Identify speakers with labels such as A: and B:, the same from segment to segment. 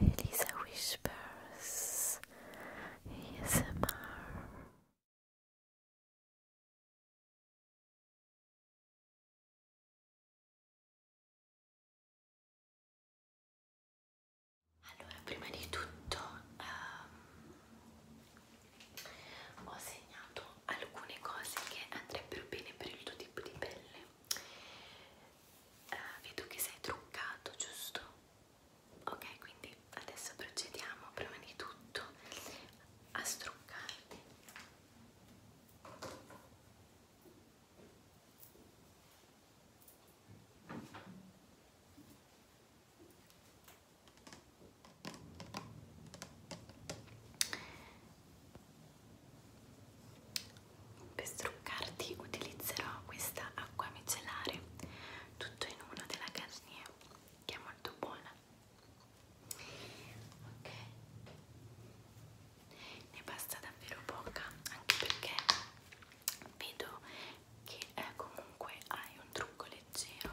A: Elisa Whispers ASMR Allora, prima di tutto um, ho segnato alcune cose che andrebbero bene per il tuo tipo di pelle eh, vedo che sei truccato, giusto? Ok, quindi adesso procediamo prima di tutto a struccarti. Per struccarti utilizzerò questa acqua micellare tutto in uno della Garnier che è molto buona. Ok. Ne basta davvero poca, anche perché vedo che eh, comunque hai un trucco leggero.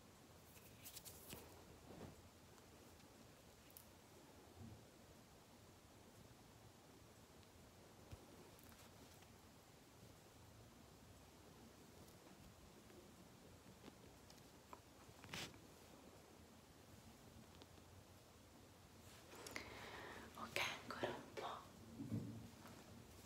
A: Ok, ancora un po'.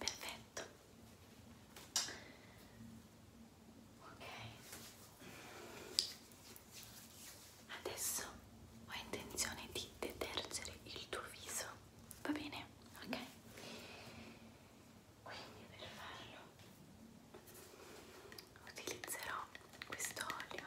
A: Perfetto. Ok. Adesso ho intenzione di detergere il tuo viso. Va bene? Ok. Quindi per farlo utilizzerò questo olio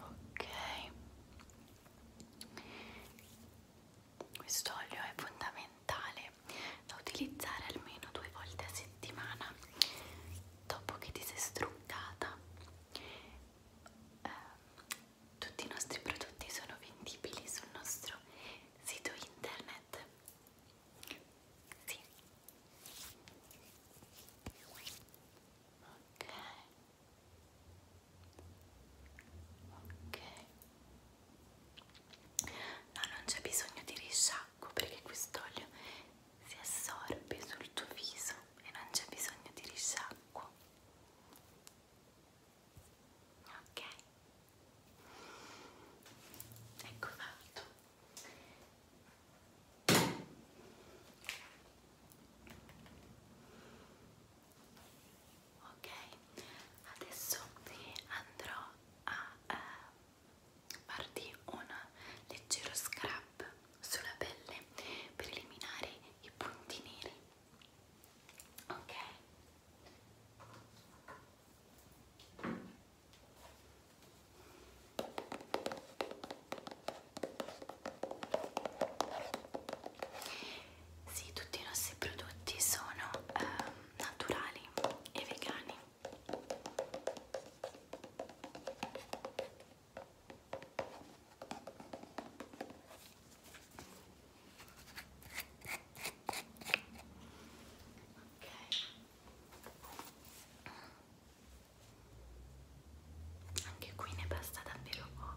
A: Ok, questo olio è fondamentale da utilizzare almeno due volte a settimana dopo che ti sei struccata eh, tutti i nostri prodotti sono vendibili sul nostro sito internet sì ok ok No, non c'è bisogno di risciacquo bianco perché quest'olio si assorbe sul tuo viso e non c'è bisogno di risciacquo ok ecco fatto ok adesso andrò a eh, partì un leggero scrub sulla pelle per eliminare i punti neri ok sì, tutti i nostri prodotti sono eh, naturali e vegani. Okay. Anche qui ne basta davvero poco.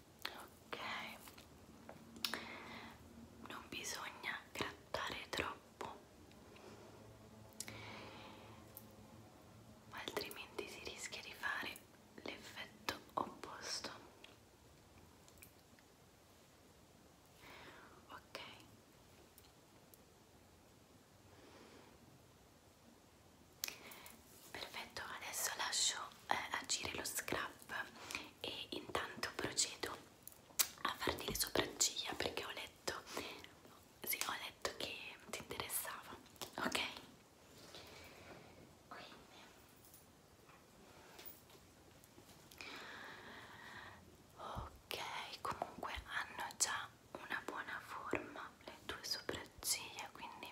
A: ok non bisogna grattare troppo altrimenti si rischia di fare l'effetto opposto ok perfetto adesso lascio eh, agire lo scrap e intanto procedo a farti le sopracciglia perché ho letto sì, ho letto che ti interessava ok quindi ok comunque hanno già una buona forma le tue sopracciglia quindi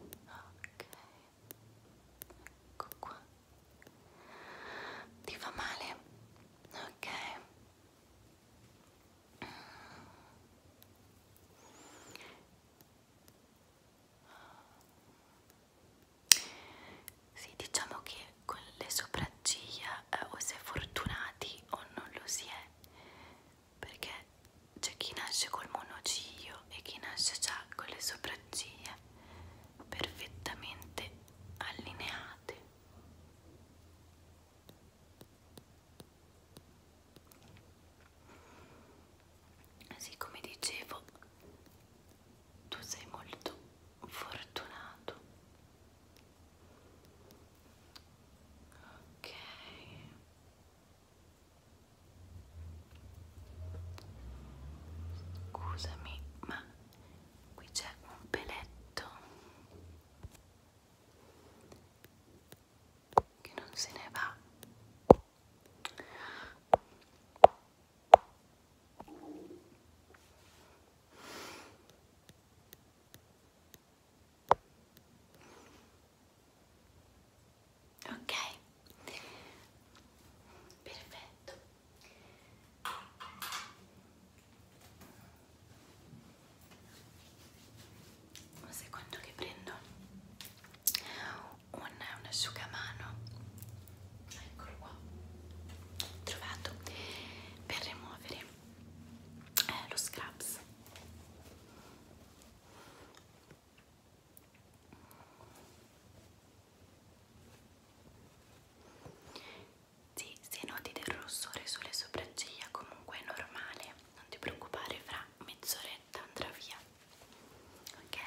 A: ok ecco qua ti fa male ok sì diciamo che con le sopracciglia eh, o si è fortunati o non lo si è perché c'è chi nasce col monociglio e chi nasce già con le sopracciglia perfettamente allineate Sì, come dicevo, tu sei molto fortunato. Ok. Scusami, ma qui c'è un peletto che non se ne va. Ok, perfetto. Un secondo che prendo un, un asciugamano, eccolo qua, trovato per rimuovere eh, lo scraps. Sì, se noti del rossore sulle sopracciglia comunque è normale, non ti preoccupare, fra mezz'oretta andrà via. Ok?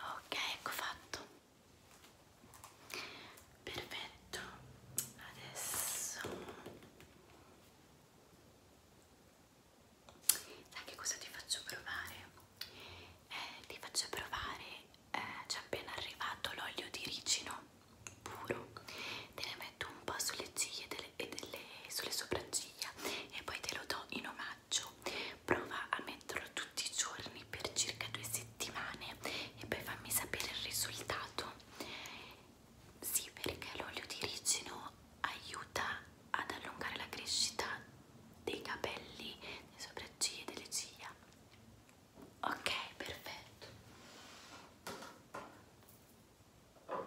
A: Ok, ecco fatto perfetto adesso sai che cosa ti faccio provare? Eh, ti faccio provare eh, c'è appena arrivato l'olio di ricino puro te ne metto un po' sulle ciglia delle, e delle, sulle sopracciglia e poi te lo do in omaggio prova a metterlo tutti i giorni per circa due settimane e poi fammi sapere il risultato sì perché l'olio di ricino aiuta ad allungare la crescita dei capelli delle sopracciglia e delle ciglia ok perfetto ok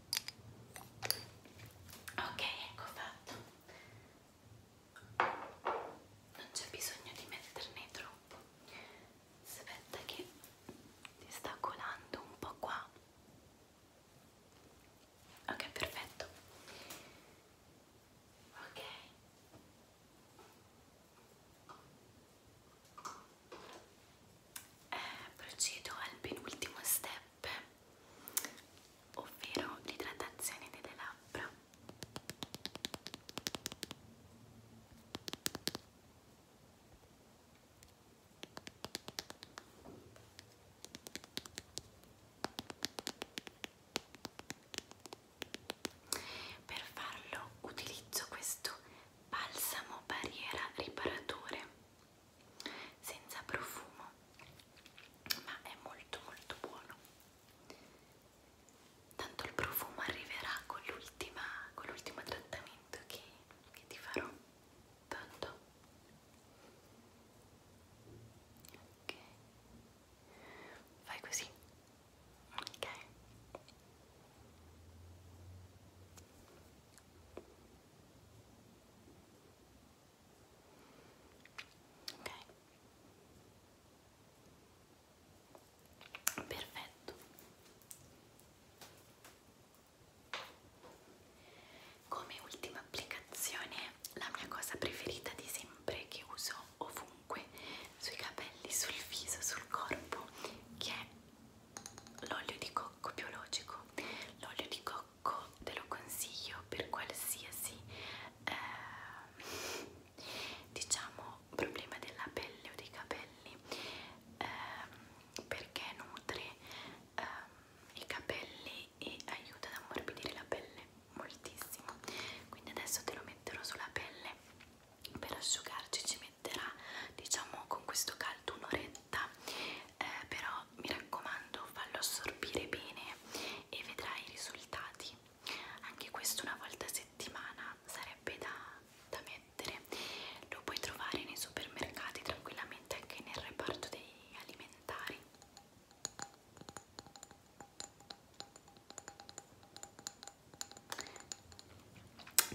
A: ok ecco fatto non c'è bisogno di metterne troppo aspetta che ti sta colando un po' qua ok perfetto ok eh, procedo al penultimo step step ovvero l'idratazione delle labbra per farlo utilizzo questo balsamo barriera riparatore senza profumo ma è molto molto buono tanto il profumo arriverà con l'ultimo trattamento che, che ti farò tanto ok fai così ok ok perfetto come ultima applicazione la mia cosa preferita di sempre che uso ovunque sui capelli sul viso sul corpo che è l'olio di cocco biologico l'olio di cocco te lo consiglio per qualsiasi eh, diciamo problema della pelle o dei capelli eh, perché nutre eh, i capelli e aiuta ad ammorbidire la pelle moltissimo quindi adesso te lo metterò sulla pelle per asciugarci ci metterà diciamo con questo caldo caldo un'oretta eh, però mi raccomando fallo assorbire bene e vedrai i risultati anche questo una volta a settimana sarebbe da, da mettere lo puoi trovare nei supermercati tranquillamente anche nel reparto dei alimentari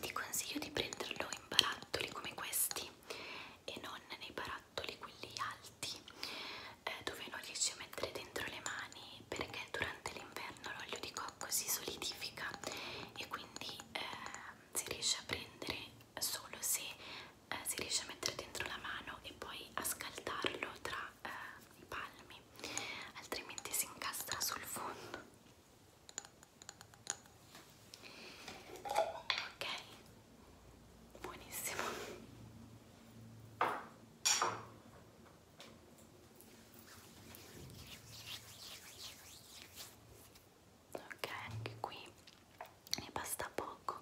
A: ti consiglio di prenderlo in barattoli come questi e non nei barattoli quelli alti eh, dove non riesci a mettere dentro le mani perché durante l'inverno l'olio di cocco si solidifica e quindi eh, si riesce a prendere solo se eh, si riesce a mettere dentro la mano e poi a scaldarlo tra eh, i palmi altrimenti si incastra sul fondo ok buonissimo ok anche qui ne basta poco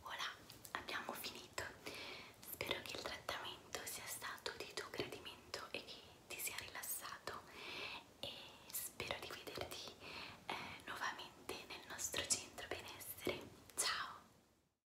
A: Voilà, abbiamo finito. Spero che il trattamento sia stato di tuo gradimento e che ti sia rilassato e spero di vederti eh, nuovamente nel nostro centro benessere. Ciao!